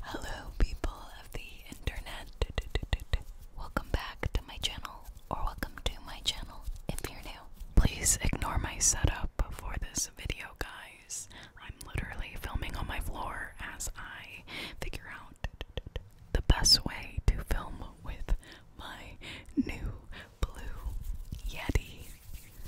Hello, people of the internet. Welcome back to my channel, or welcome to my channel if you're new. Please ignore my setup for this video, guys. I'm literally filming on my floor as I figure out the best way to film with my new blue Yeti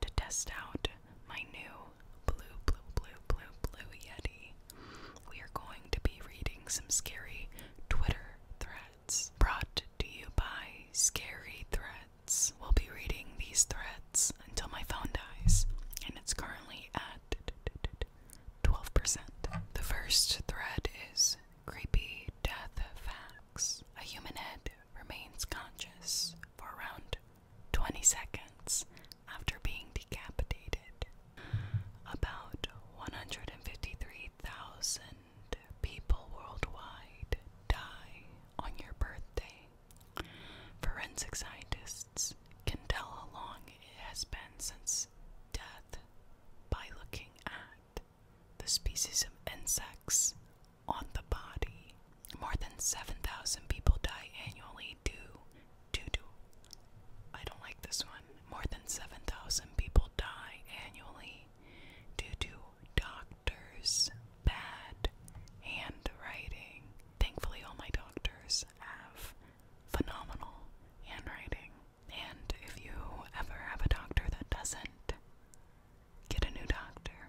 to test out my new blue, blue, blue, blue, blue Yeti, we are going to be reading some scary Twitter threads brought to you by Scary Threads. We'll be reading these threads until my phone dies, and it's currently at 12%. The first thread is Creepy Death Facts. A human head remains conscious for around 20 seconds after being decapitated. About 153,000 people worldwide die on your birthday. Forensic scientists can tell how long it has been since death by looking at the species of insects on the body. More than 7,000 people die annually due to I don't like this one. More than 7,000 people die annually due to doctors' bad handwriting. Thankfully, all my doctors have phenomenal handwriting. And if you ever have a doctor that doesn't, get a new doctor.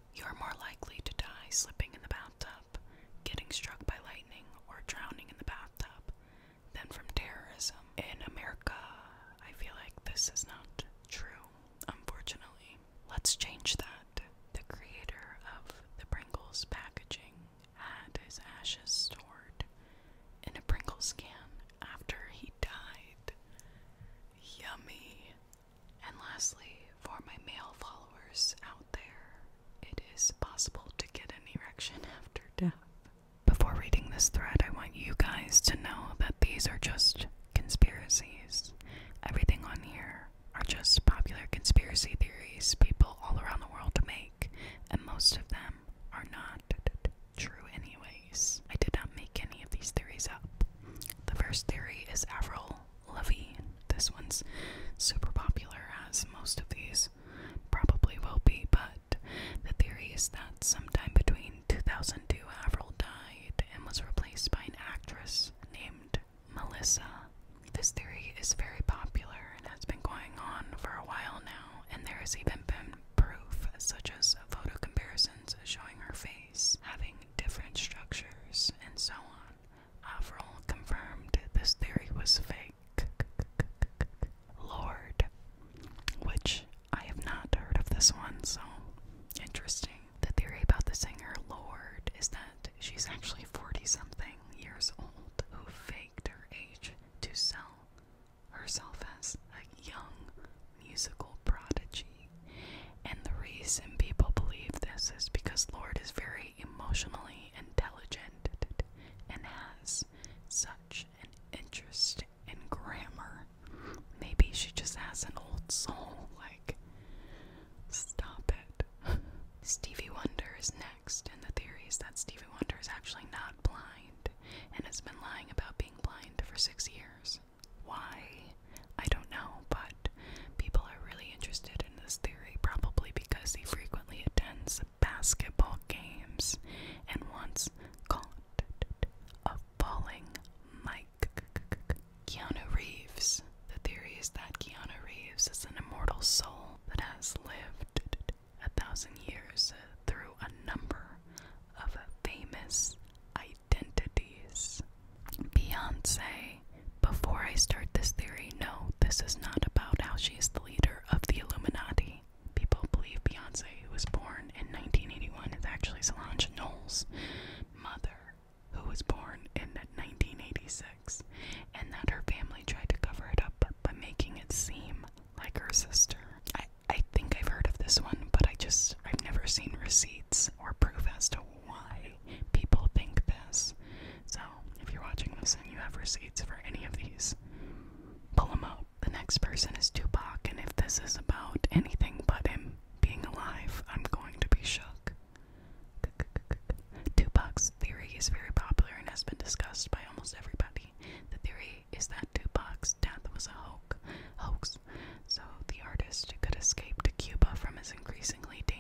You are more likely to die slipping in the bathtub, getting struck by lightning, or drowning in the bathtub than from terrorism. In America, I feel like this is not true, unfortunately. Let's change that. The creator of the Pringles packaging had his ashes stored in a Pringles can after he died. Yummy. And lastly, for my male followers out there, it is possible to get an erection after death. Before reading this thread, I want you guys to know that these are just conspiracies. Everything on here are just popular conspiracy theories people all around the world make, and most of them are not true, anyways. I did not make any of these theories up. The first theory is Avril Levine. This one's super popular, as most of these probably will be, but the theory is that sometime between 2002, Avril died and was replaced by an actress named Melissa. This theory is very popular and has been going on for a while now, and there has even been proof, such as photo comparisons showing her face having different structures and so on. Avril confirmed this theory was fake. Lord, which I have not heard of this one, so interesting. The theory about the singer Lord is that she's actually 40 something years old who faked her age to sell herself as a young musical prodigy. And the reason people believe this is because Lord is very emotionally intelligent and has such an interest in grammar. Maybe she just has an old soul, like, stop it. Stevie Wonder is next, and the theory is that Stevie Wonder is actually not blind and has been lying about being blind for six years. Why? I don't know, but people are really interested in this theory probably because he frequently attends basketball games and once caught a falling mic. Keanu Reeves. The theory is that Keanu Reeves is an immortal soul that has lived a thousand years uh, through a number of famous items identities. Beyonce, before I start this theory, no, this is not about how she's the leader of the Illuminati. People believe Beyonce, was born in 1981, is actually Solange Knowles' mother, who was born in 1986, and that her family tried to cover it up by making it seem like her sister. I, I think I've heard of this one, but I just, I've never seen receipts or proof as to why people think this. So, if you're watching this and you have receipts for any of these, pull them up. The next person is Tupac, and if this is about anything but him being alive, I'm going to be shook. Tupac's theory is very popular and has been discussed by almost everybody. The theory is that Tupac's death was a hoax, hoax so the artist could escape to Cuba from his increasingly dangerous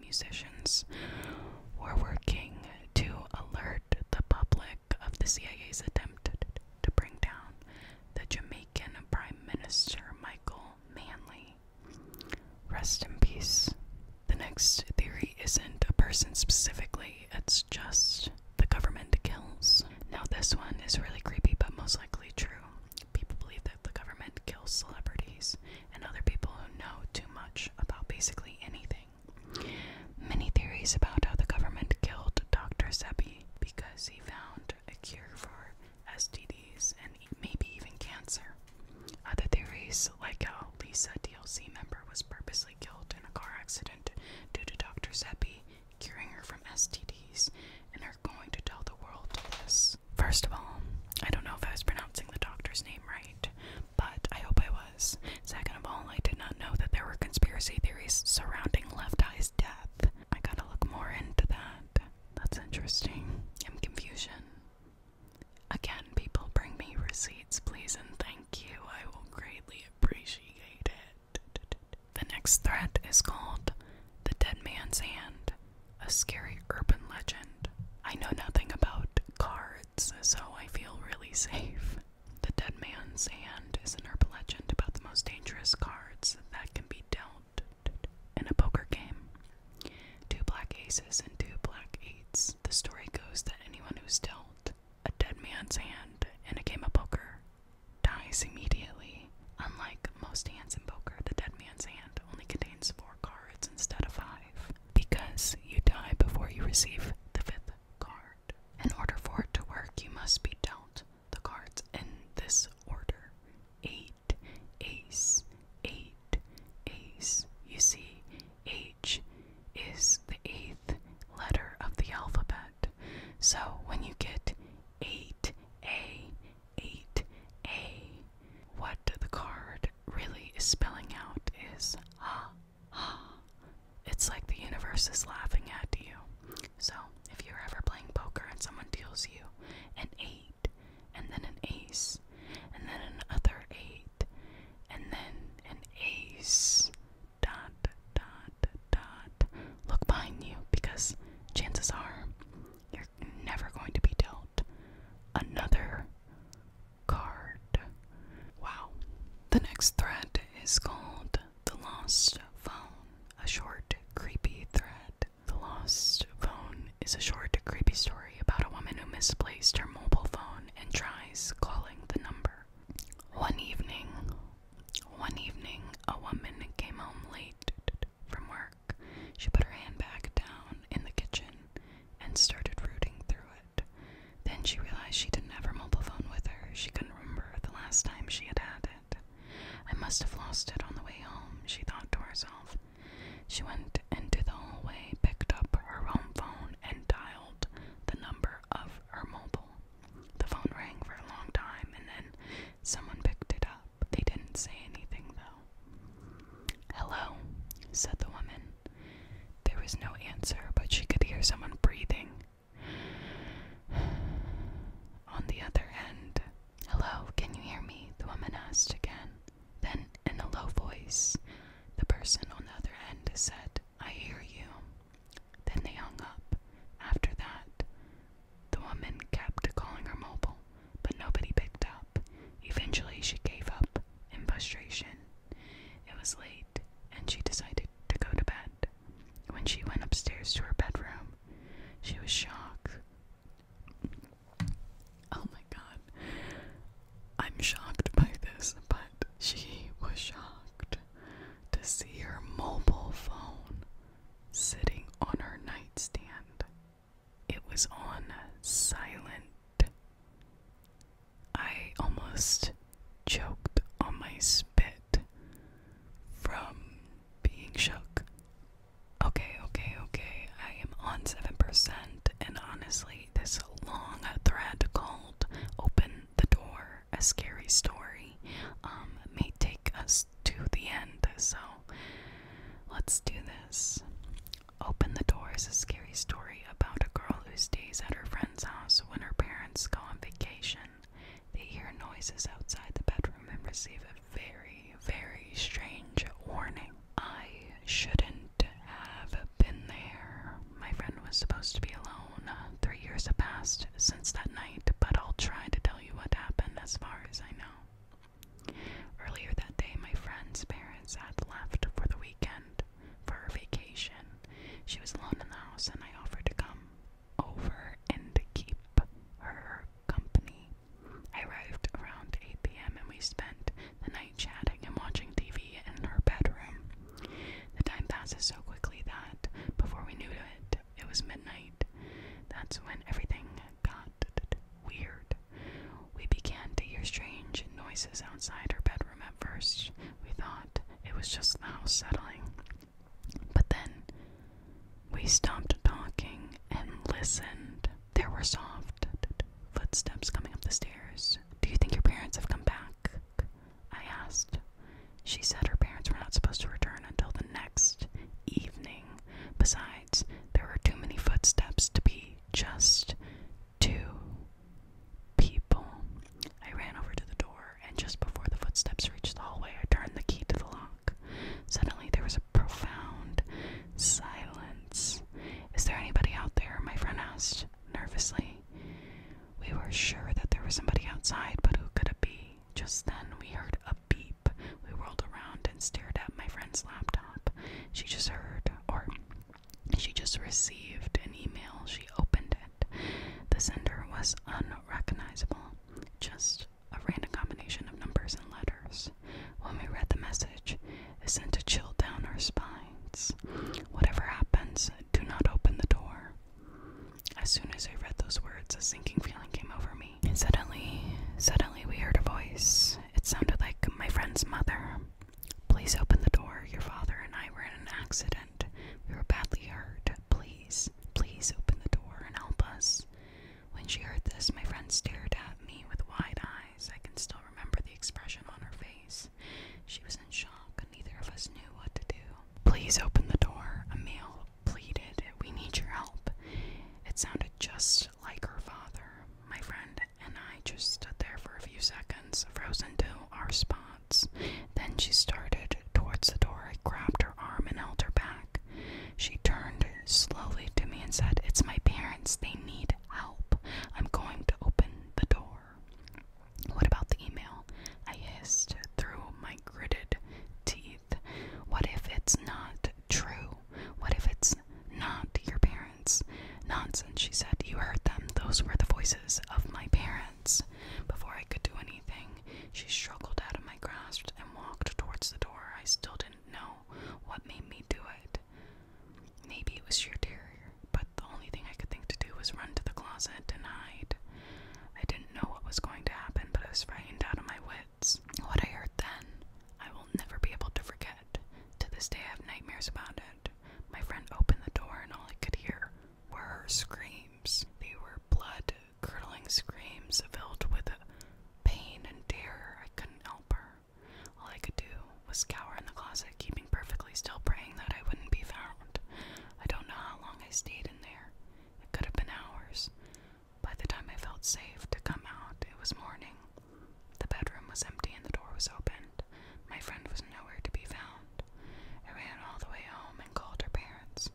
musicians were working to alert the public of the CIA's attempt to bring down the Jamaican Prime Minister Michael Manley. Rest in peace. The next theory isn't a person specifically, it's just the government kills. Now, this one is really creepy but most likely true. People believe that the government kills celebrities and other people who know too much about basically anything. Many theories about how the government killed Dr. Sebi because he found a cure for STDs and maybe even cancer. Other theories, like how Lisa DLC member was purposely killed in a car accident due to Dr. Sebi curing her from STDs and are going to tell the world this. First of all, I don't know if I was pronouncing the doctor's name right, but I hope I was. Second of all, I did not know that there were conspiracy theories surrounding Left Eye's death. I gotta look more into that. That's interesting. I'm confusion. Again, people bring me receipts, please, and thank you. I will greatly appreciate it. The next threat is called The Dead Man's Hand, a scary urban legend. I know nothing about car so I feel really safe. The Dead Man's Hand is an urban legend about the most dangerous cards that can be dealt in a poker game. Two black aces and two black eights. The story goes that anyone who's dealt a dead man's hand in a game of poker dies immediately. Unlike most hands in poker, the dead man's hand only contains four cards instead of five because you die before you receive the fifth card. In order for it to work, you must be dealt the cards in this order. Eight, ace, eight, ace. You see, H is the eighth letter of the alphabet. So when you get eight, A, eight, A, what the card really is spelling out is ah It's like the universe is laughing at you. So, if you're ever playing poker and someone deals you an 8, and then an ace, and then another 8, and then an ace, dot, dot, dot, look behind you because chances are you're never going to be dealt another card. Wow. The next thread is called The Lost Phone, a short, creepy thread. The Lost Phone is a short, creepy story about a woman who misplaced her mobile phone and tries calling the number. One evening, one evening, a woman came home late from work. She put her hand back down in the kitchen and started rooting through it. Then she realized she didn't have her mobile phone with her. She couldn't remember the last time she had had it. I must have lost it on the way home, she thought to herself. She went into the hallway, picked up her home phone, and dialed the number of her mobile. The phone rang for a long time, and then someone picked it up. They didn't say anything, though. Hello, said the woman. There was no answer, but she could hear someone breathing. On the other end, Hello, can you hear me? The woman asked again. Then, in a low voice, the person on the other end said, I hear you. Then they hung up. After that, the woman kept calling her mobile, but nobody picked up. Eventually, she gave up and frustration. It was late, and she decided to go to bed. When she went upstairs to her bedroom, she was shocked. Oh my god. I'm shocked by this, but she was shocked to see her mobile phone sitting on her nightstand. It was on silent I almost choked on my spit from being shook. Okay, okay, okay. I am on 7%, and honestly, this long thread called Open the Door, a Scary Story, um, may take us to the end, so let's do this. Open the Door is a Scary Story about a girl who stays at her friend's house when her parents go on vacation. They hear noises outside the bedroom and receive a very, very strange warning. I shouldn't have been there. My friend was supposed to be alone. Three years have passed since that night, but I'll try to tell you what happened as far as I know. Earlier that day, my friend's parents had left for the weekend for her vacation. She was alone in the house, and I offered to come over and keep her company. I arrived around 8 p.m., and we spent the night chatting and watching TV in her bedroom. The time passes so quickly that before we knew it, it was midnight. That's when everything got weird. We began to hear strange noises outside her bedroom at first. We thought it was just the house settling. But then we stopped talking and listened. There were soft footsteps coming up the stairs. Do you think your parents have come back? I asked. She said her parents were not supposed to return until the next evening. Besides, there were too many footsteps to be just two people. I ran over to the door, and just before the footsteps reached the hallway, I turned the key to the lock. Suddenly, there was a profound silence. Is there anybody out there? My friend asked nervously. We were sure that there was somebody outside, but who could it be? Just then, we heard a beep. We whirled around and stared at my friend's laptop. She just heard, or she just received an email. She opened it. The sender was unrecognizable, just a random combination of numbers and letters. When we read the message, it sent a chill down our spines. Whatever happens, do not open the door. As soon as I read those words, a sinking feeling came over me. And suddenly, suddenly we heard a voice. It sounded like my friend's mother. Please open the door. Your father and I were in an accident. We were badly hurt. Please, please open the door and help us. When she heard this, my friend stared at me with wide eyes. I can still remember the expression on her face. She was in shock, and neither of us knew what to do. Please open the door, a pleaded. We need your help. It sounded just like her father. My friend and I just stood there for a few seconds, frozen to our spot. Then she started towards the door. I grabbed her arm and held her back. She turned slowly to me and said, It's my parents. They need help. I'm going to open the door. What about the email? I hissed through my gritted teeth. What if it's not true? What if it's not your parents? Nonsense, she said. You heard them. Those were the voices of my parents. Before I could do anything, she struggled out of my grasp and walked towards the door. I still didn't know what made me do it. Maybe it was sheer terror, but the only thing I could think to do was run to the closet and hide. I didn't know what was going to happen, but I was frightened out of my wits. What I heard then, I will never be able to forget. To this day, I have nightmares about it. My friend opened the door, and all I could hear were her screams. They were blood curdling screams filled with pain and terror. I couldn't help her. All I could do was cower in the closet, keeping perfectly still, praying that I wouldn't be found. I don't know how long I stayed in there. It could have been hours. By the time I felt safe to come out, it was morning. The bedroom was empty and the door was open. My friend was nowhere to be found. I ran all the way home and called her parents.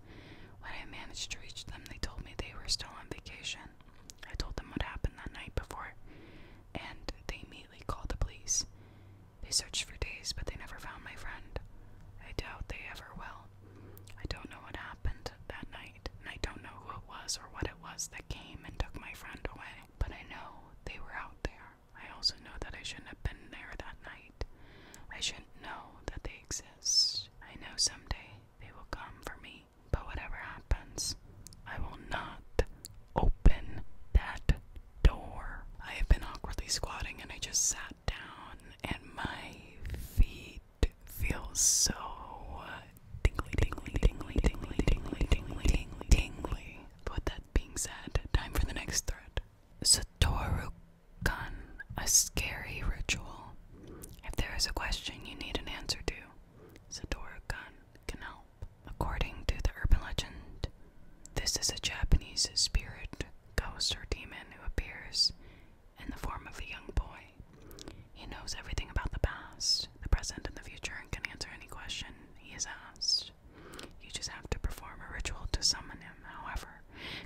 When I managed to reach them, they told me they were still on vacation. I told them what happened that night before, and they immediately called the police. They searched for days, but they never found my friend. I doubt they ever will. I don't know what happened that night, and I don't know who it was or what it was that came and took my friend away, but I know they were out there. I also know that I shouldn't have been there that night. I shouldn't know that they exist. I know someday they will come for me. But whatever happens, I will not open that door. I have been awkwardly squatting and I just sat down and my feet feel so tingly, tingly, tingly, tingly, tingly, tingly, tingly, tingly. But with that being said, time for the next thread satoru Gun, a scary ritual. If there is a question you need an answer to, satoru Gun can help. According to the urban legend, this is a Japanese spirit, ghost, or demon who appears in the form of a young boy. He knows everything about the past, the present, and the future and can answer any question he is asked. You just have to perform a ritual to summon him, however,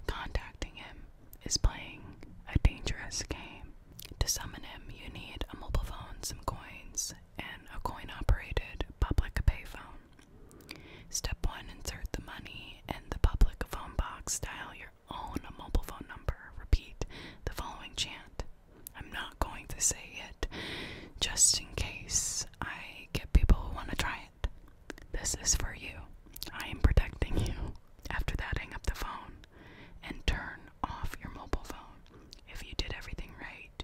contacting him is playing a dangerous game. To summon him, you need a mobile phone, some coins, and a coin operated public payphone. Step 1 Insert the money in the public phone box, dial your own mobile phone number, repeat the following chant. I'm not going to say it just in case I get people who want to try this is for you. I am protecting you. After that, hang up the phone and turn off your mobile phone. If you did everything right,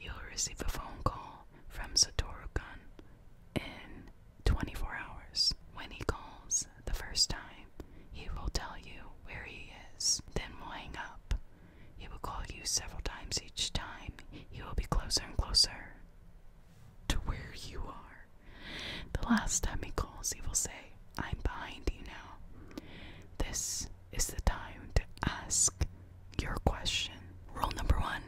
you'll receive a phone call from Satoru Gun in 24 hours. When he calls the first time, he will tell you where he is, then we'll hang up. He will call you several times each time. He will be closer and closer to where you are. The last time he calls, he will say, I'm behind you now. This is the time to ask your question. Rule number one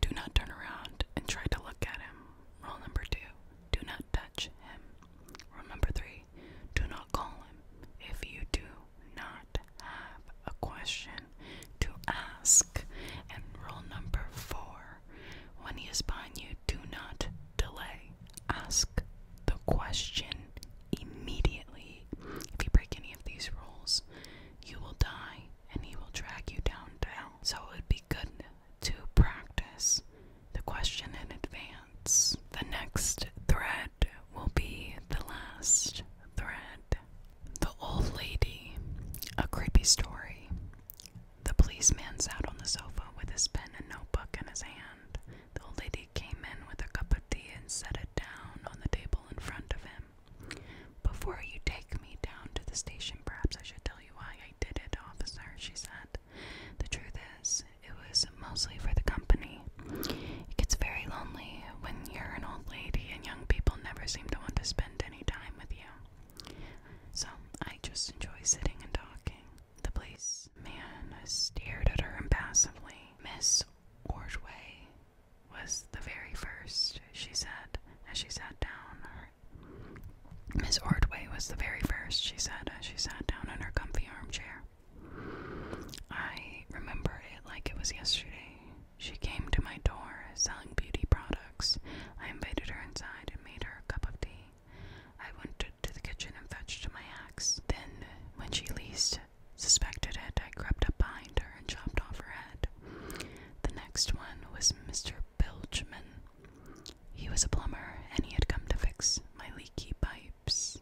do not turn around and try to look at him. Rule number two do not touch him. Rule number three do not call him. If you do not have a question to ask. And rule number four when he is behind you, do not delay. Ask the question immediately. If you break any of these rules, you will die and he will drag you down So it would be good to practice the question in advance. The next thread will be the last thread the Old Lady, a creepy story. The policeman sat on the sofa with his pen and notebook in his hand. The old lady came in with a cup of tea and set it down on the table in front of him. Before you take me down to the station, perhaps I should tell you why I did it, officer, she said. The truth is, it was mostly for the company. It gets very lonely when you're an old lady and young people never seem to want to spend any time with you. So I just enjoy sitting and talking. The place man stared at her impassively. Miss Ordway was the very first, she said, as she sat down. Miss Ordway was the very first, she said, as she sat down in her comfy armchair. I remember it like it was yesterday. She came to my door selling beauty products. I invited her inside and made her a cup of tea. I went to the kitchen and fetched my axe. Then, when she least suspected it, I crept up behind her and chopped off her head. The next one was Mr. Bilgeman. He was a plumber and he had come to fix my leaky pipes.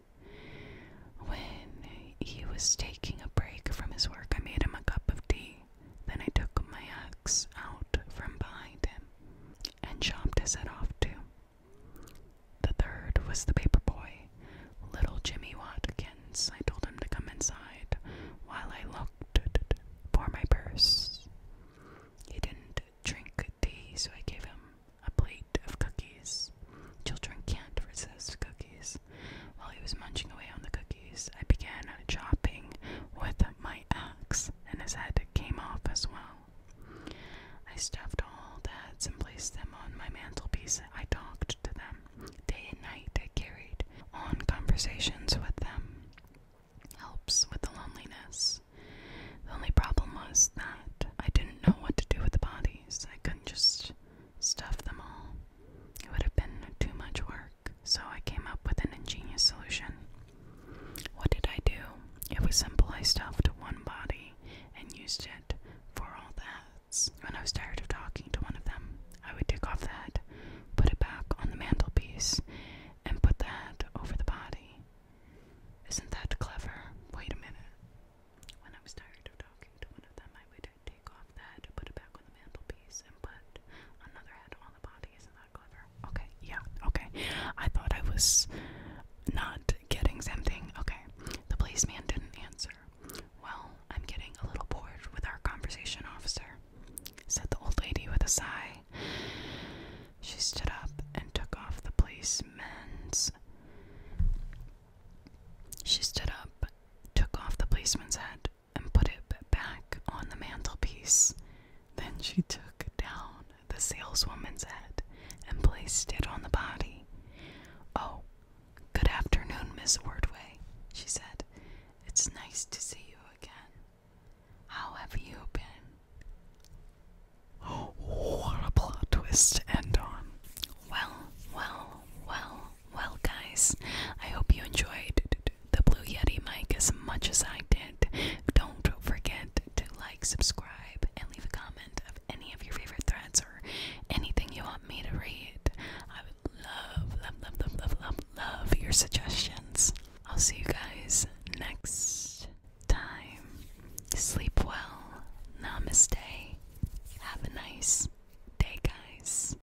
When he was taking a break from his work, I made him a cup of tea. Then I took my axe out from behind him and chopped his head off too. The third was the paper boy, little Jimmy Watkins. I told him to come inside while I looked for my purse. He didn't drink tea, so I gave him a plate of cookies. Children can't resist cookies. While he was munching away on the cookies, I began chopping with my axe, and his head came off as well. I stuffed all the heads and placed them on my mantelpiece. I talked to them day and night. I carried on conversations with them. Helps with the loneliness. The only problem was that I didn't know what to do with the bodies. I couldn't just stuff them all. It would have been too much work so I came up with an ingenious solution. What did I do? It was simple. I stuffed one body and used it for all the hats. When I was tired of talking to one of them, I would take off the head, put it back on the mantelpiece, and put the head over the body. Isn't that clever? Wait a minute. When I was tired of talking to one of them, I would take off the head, put it back on the mantelpiece, and put another head on the body. Isn't that clever? Okay, yeah, okay. I thought I was not getting something. Okay, the policeman didn't answer. Well, I'm getting a little bored with our conversation, officer, said the old lady with a sigh. She stood up and took off the policeman's. She stood up, took off the policeman's hat, and put it back on the mantelpiece. Then she took down the saleswoman's head and placed it on the body. Oh, good afternoon, Miss Wordway, she said. It's nice to see you again. How have you been? what a plot twist to end on. Well, well, well, well, guys, I hope you enjoyed the Blue Yeti mic as much as I did. Don't forget to like, subscribe, and leave a comment of any of your favorite threads or anything you want me to read. I would love, love, love, love, love, love, love your suggestions. I'll see you guys next time. Sleep well. Namaste. Have a nice day, guys.